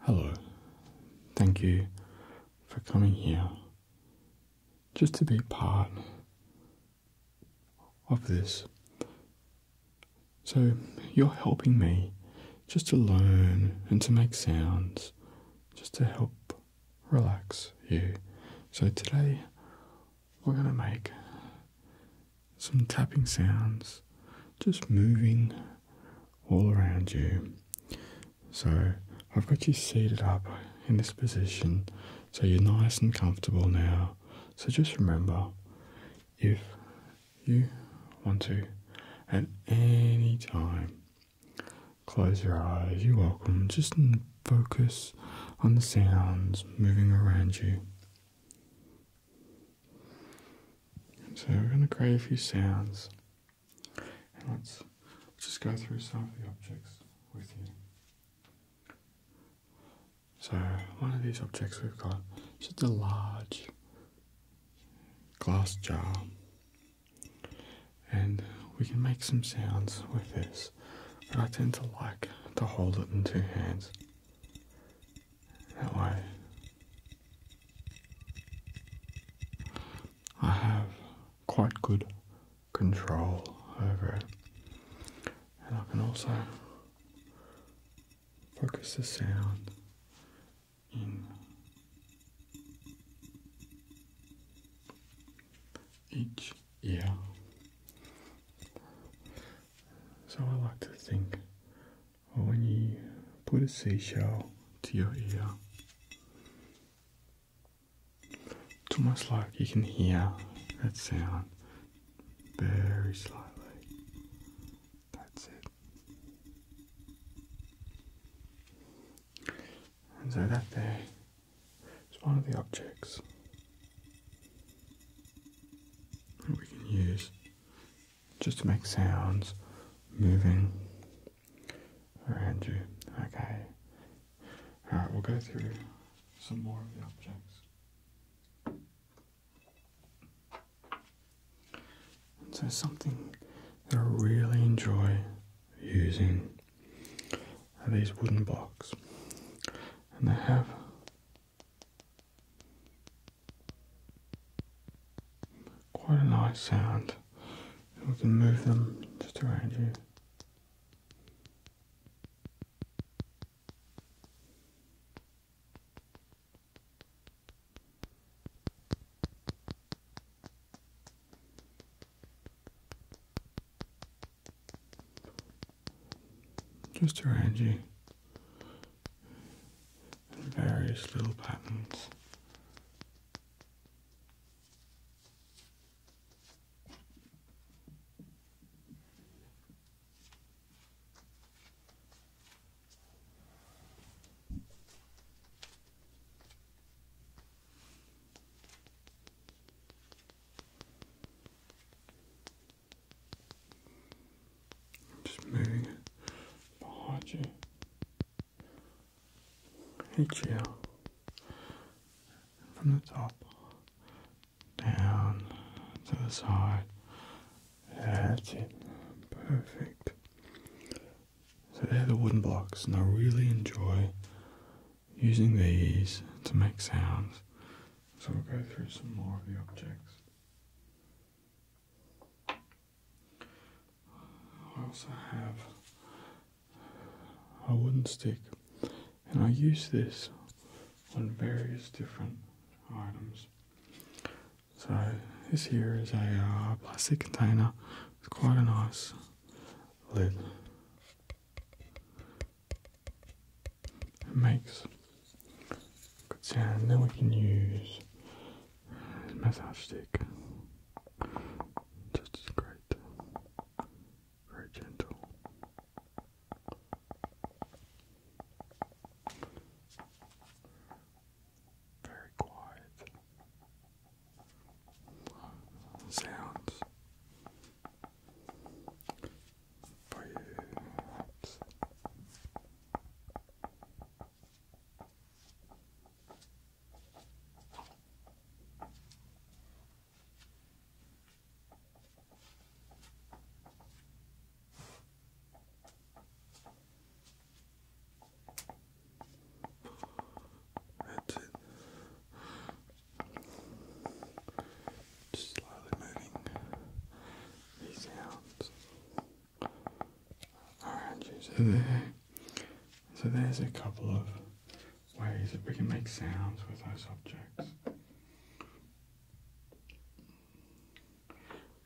Hello. Thank you for coming here just to be part of this. So, you're helping me just to learn and to make sounds, just to help relax you. So, today we're going to make some tapping sounds, just moving all around you. So I've got you seated up in this position so you're nice and comfortable now. So just remember if you want to at any time close your eyes, you're welcome. Just focus on the sounds moving around you so we're going to create a few sounds. And let's just go through some of the objects with you. So one of these objects we've got is just a large glass jar. And we can make some sounds with this, but I tend to like to hold it in two hands that way. I have quite good control over it, and I can also focus the sound in each ear. So I like to think or when you put a seashell to your ear. It's almost like you can hear that sound very slightly. That's it. And so that there is one of the objects that we can use just to make sounds moving around you. Okay. Alright, we'll go through some more of the objects. so something that I really enjoy using are these wooden blocks. And they have Quite a nice sound. We can move them just around you. just around you various little patterns. Just moving it behind you. Each ear. From the top. Down to the side. That's it. Perfect. So they're the wooden blocks and I really enjoy using these to make sounds. So we'll go through some more of the objects. I also have a wooden stick and I use this on various different items. So this here is a uh, plastic container with quite a nice lid. It makes and then we can use this massage stick. Just great. Very gentle. Very quiet. Sounds for you. That's it. slowly moving these sounds so there, so there's a couple of ways that we can make sounds with those objects.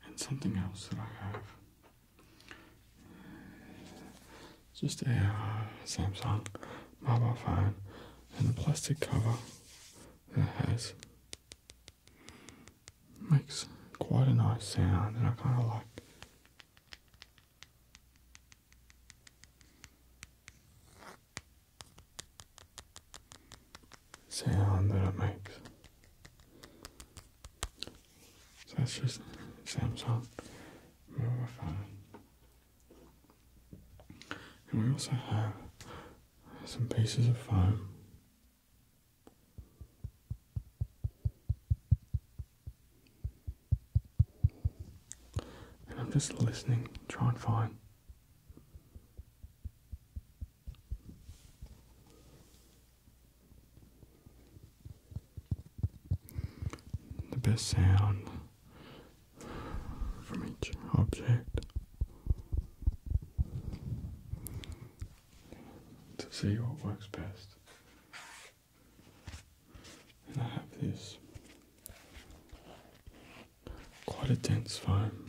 And something else that I have. Just a uh, Samsung mobile phone and a plastic cover that has Makes quite a nice sound and I kind of like sound that it makes. So that's just Samsung mobile phone. And we also have some pieces of foam and I'm just listening, try and find the best sound from each object to see what works best. And I have this quite a dense foam.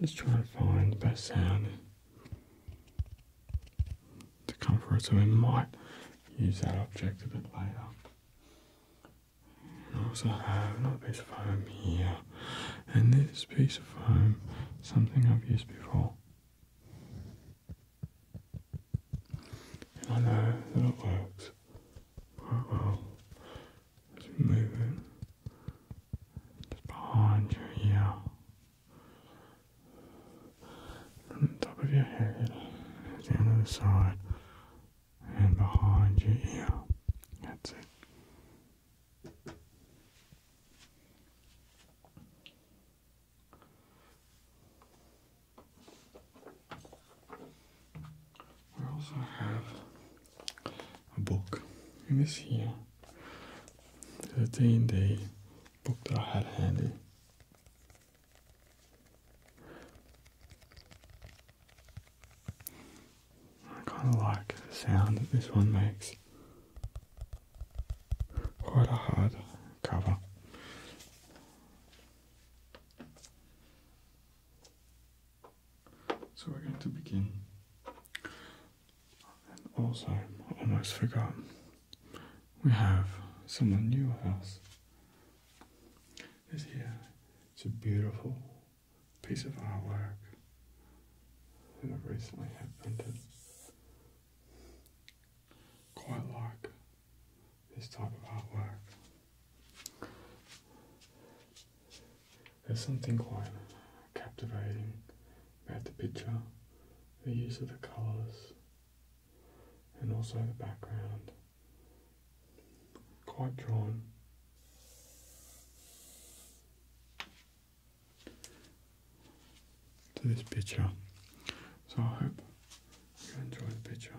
Let's try to find the best sound to come for it so we might use that object a bit later. We also have another piece of foam here, and this piece of foam, something I've used before. And I know that it works quite well. let move it just behind your ear, from the top of your head, down to the side, and behind your ear. That's it. We also have a book in this here. There's day d and book that I had handy. I kind of like the sound that this one makes. Quite a hard cover. So we're going to begin. And also, I almost forgot, we have someone new with us. Is here. It's a beautiful piece of artwork that recently happened. Quite like this type of artwork. There's something quite captivating about the picture, the use of the colours, and also the background quite prime. To this picture. So I hope you enjoy the picture.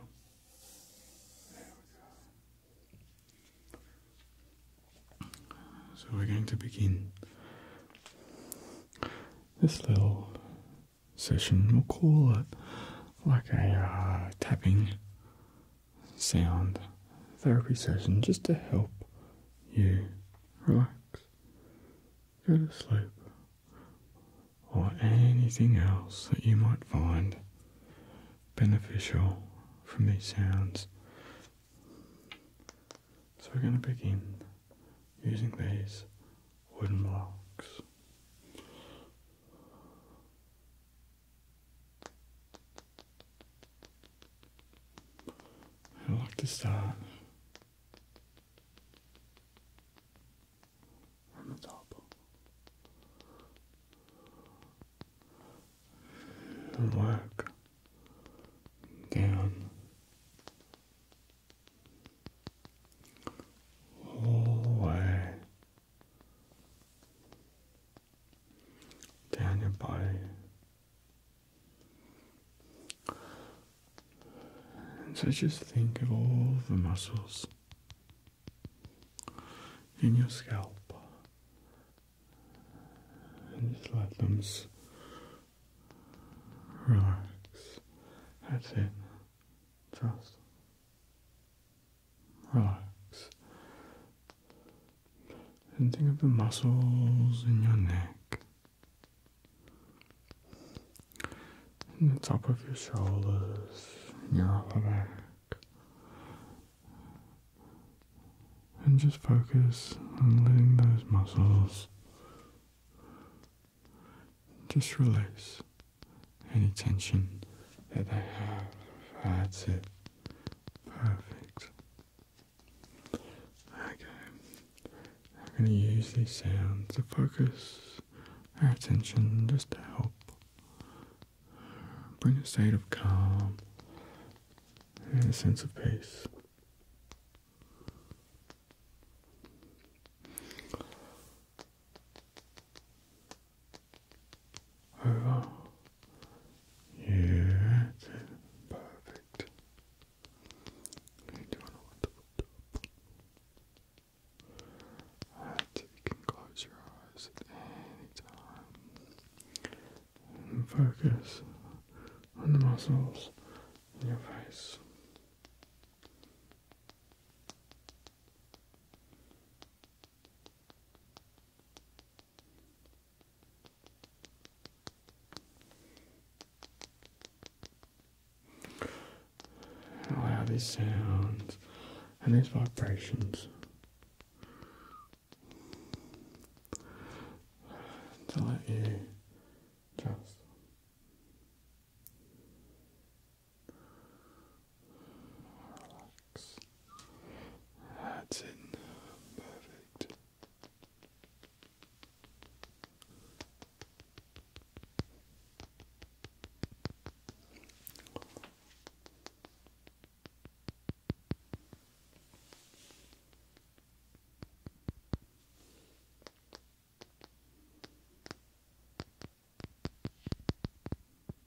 so we're going to begin this little session. We'll call it like a uh, tapping sound therapy session just to help you relax, go to sleep, or anything else that you might find beneficial from these sounds. So we're going to begin using these wooden blocks. How like to start from the top. work down all the down your body so just think of all the muscles in your scalp and just let them relax that's it Trust relax. And think of the muscles in your neck, in the top of your shoulders, in your upper back. And just focus on letting those muscles just release any tension that they have. That's Perfect. Okay. I'm going to use these sounds to focus our attention just to help bring a state of calm and a sense of peace over. Yeah, that's Perfect. You're wonderful you can close your eyes at any time. And focus on the muscles in your face. Allow sounds and these vibrations to let you just Relax. That's it. Perfect.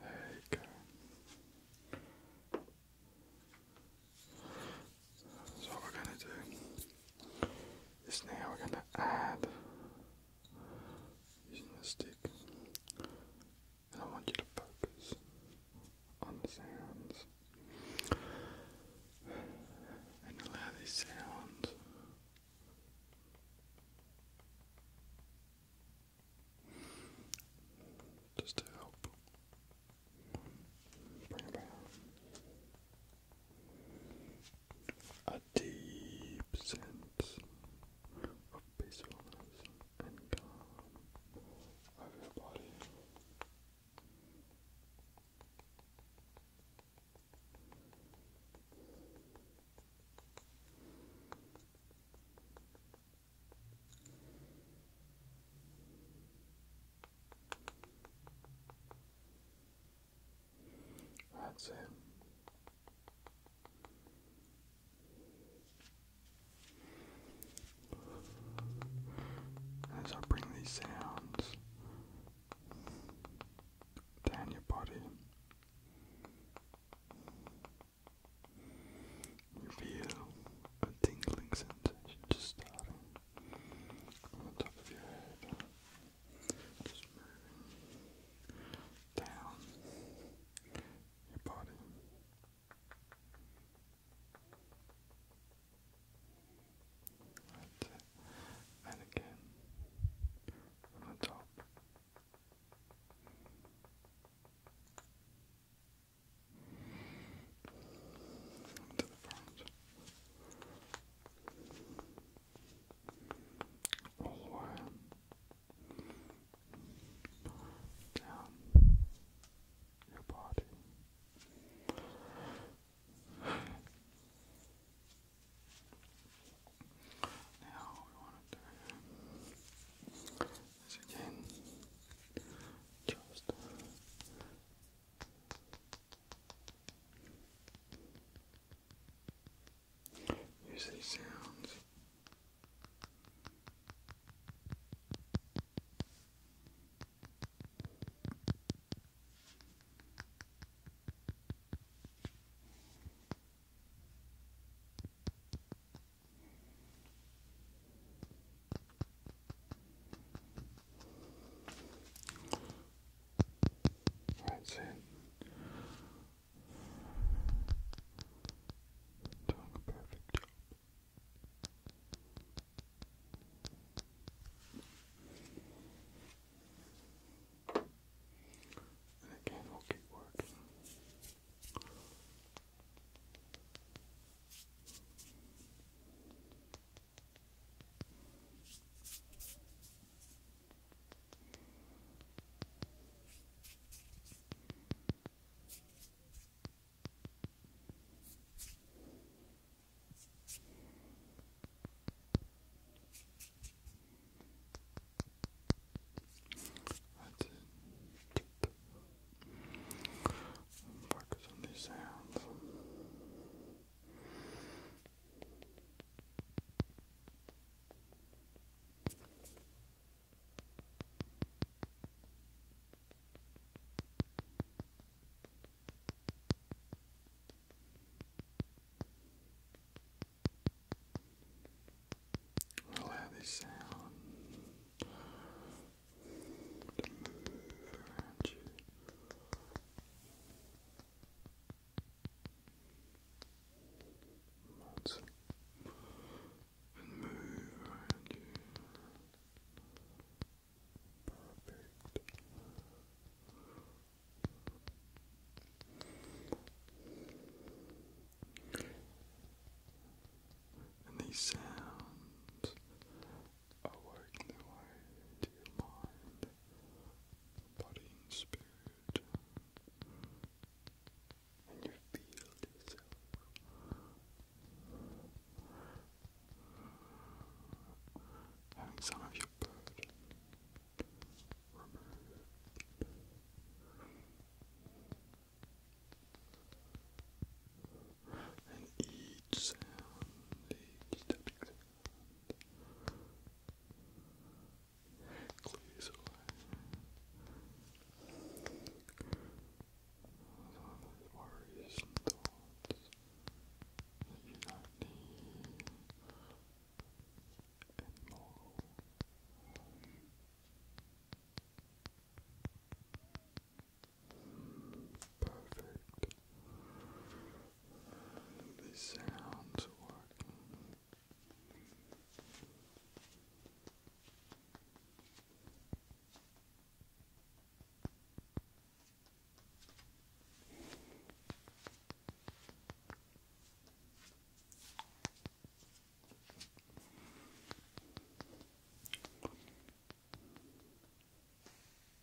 There you go. That's what we're going to do is now we're going to add using the stick. And I want you to focus on the sounds and allow these sounds just to help bring about a deep sense of peacefulness and calm over your body. That's it. As I bring these sounds down your body, you feel a tingling sensation just starting on the top of your head. Just moving down your body. And again on top. To the front or down your body. Now, we want to do is again just Use these sounds. That's it. Doing a perfect job. And again, we'll keep working. Focus on these sounds. Well, how they sound to move around you. Months. And move around you. Perfect. And these sounds awoke the way to your mind body and spirit, and you feel yourself. Having some of your burden And each sound, each step Please away worries and you don't need anymore. Perfect the sounds working.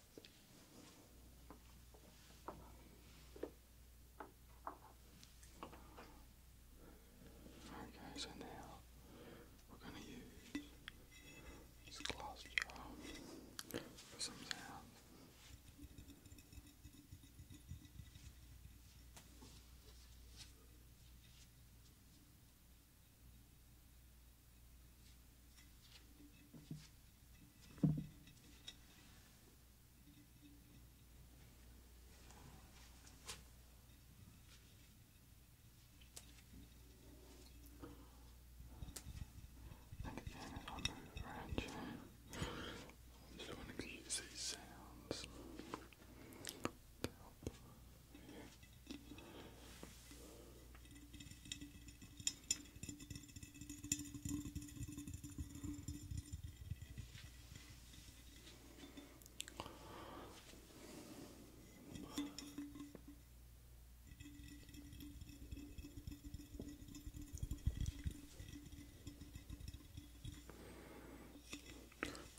Okay, so now we're going to use this glass jar for some sound. I think again, if I move around you, I just want to use these sounds to help you.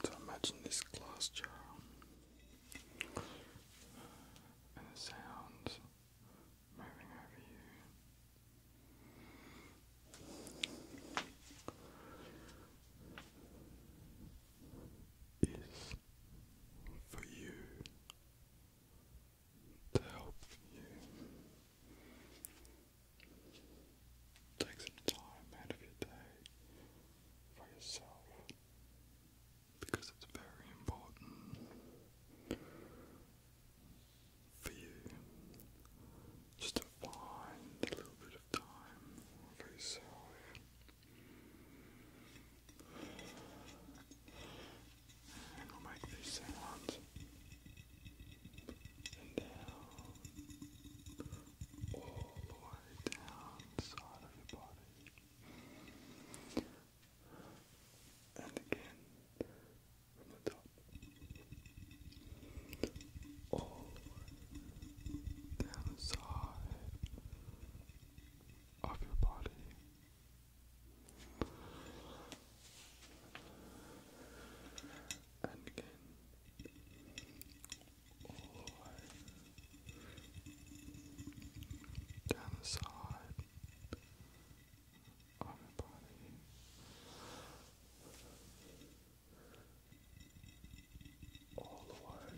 So imagine this glass and the sounds moving you is for you to help you take some time out of your day for yourself because it's very important for you just to find a little bit of time for yourself. And we'll make these sounds and down, all the way down the of your body. And again, from the top. All down the side of your body. And again, all the way down the side of your body. All the way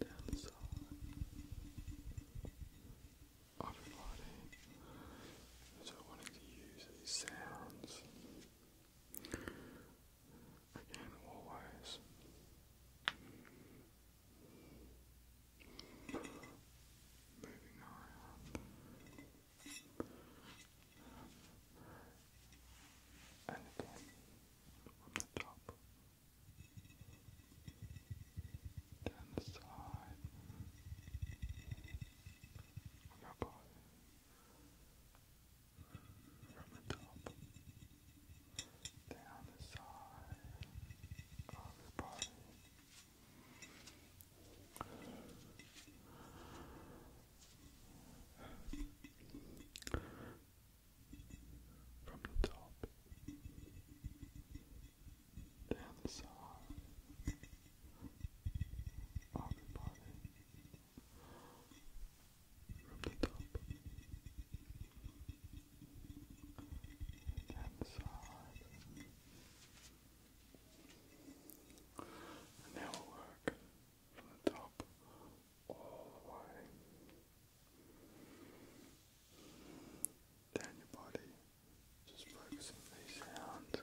down the side of body. So I wanted to use these sounds again always Moving around. And again, from the top. Down the side. Of your body. From the top. Down the side. Of your body. From the top, the side of the body, from the top, the side. And now we'll work from the top all the way down your body, just focus on these sounds.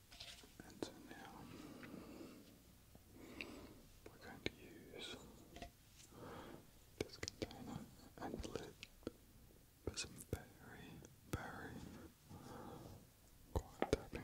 And so now we're going to use this container and lid for some very, very quiet tapping.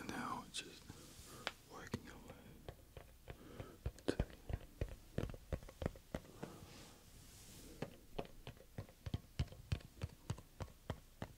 And now it's just working away.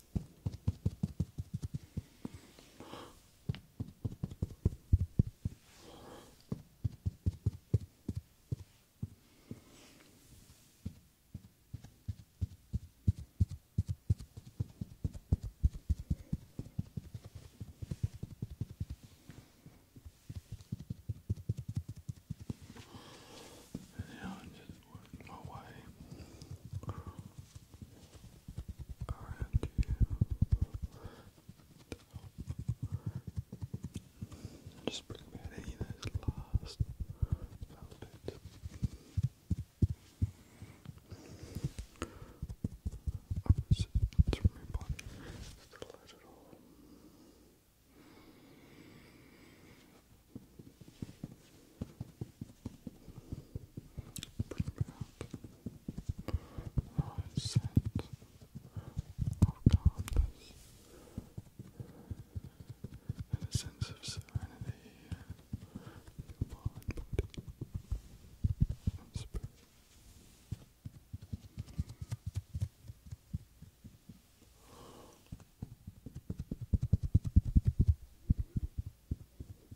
Yeah, I just working my way around you. Just bring about any of last velvet. I was to remove on the light at all bring about a sense of calmness and a sense of serenity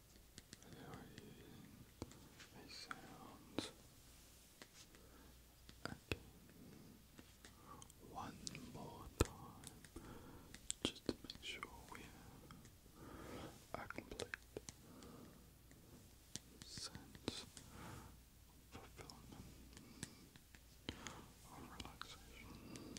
a sound again one more time just to make sure we have complete sense fulfillment or relaxation.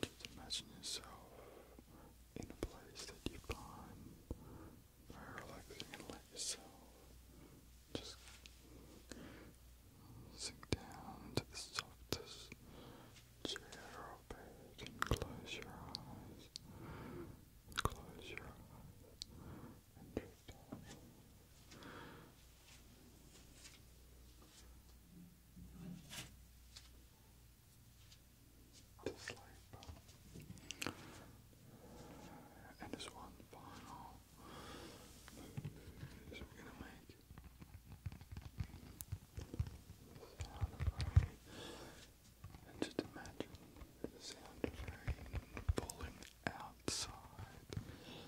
just imagine yourself in a place that you find very relaxing and let yourself just sink down to the softest chair or bed close your eyes. Close your eyes and drift off to sleep. And this one final move is we're gonna make And just imagine the sound of rain outside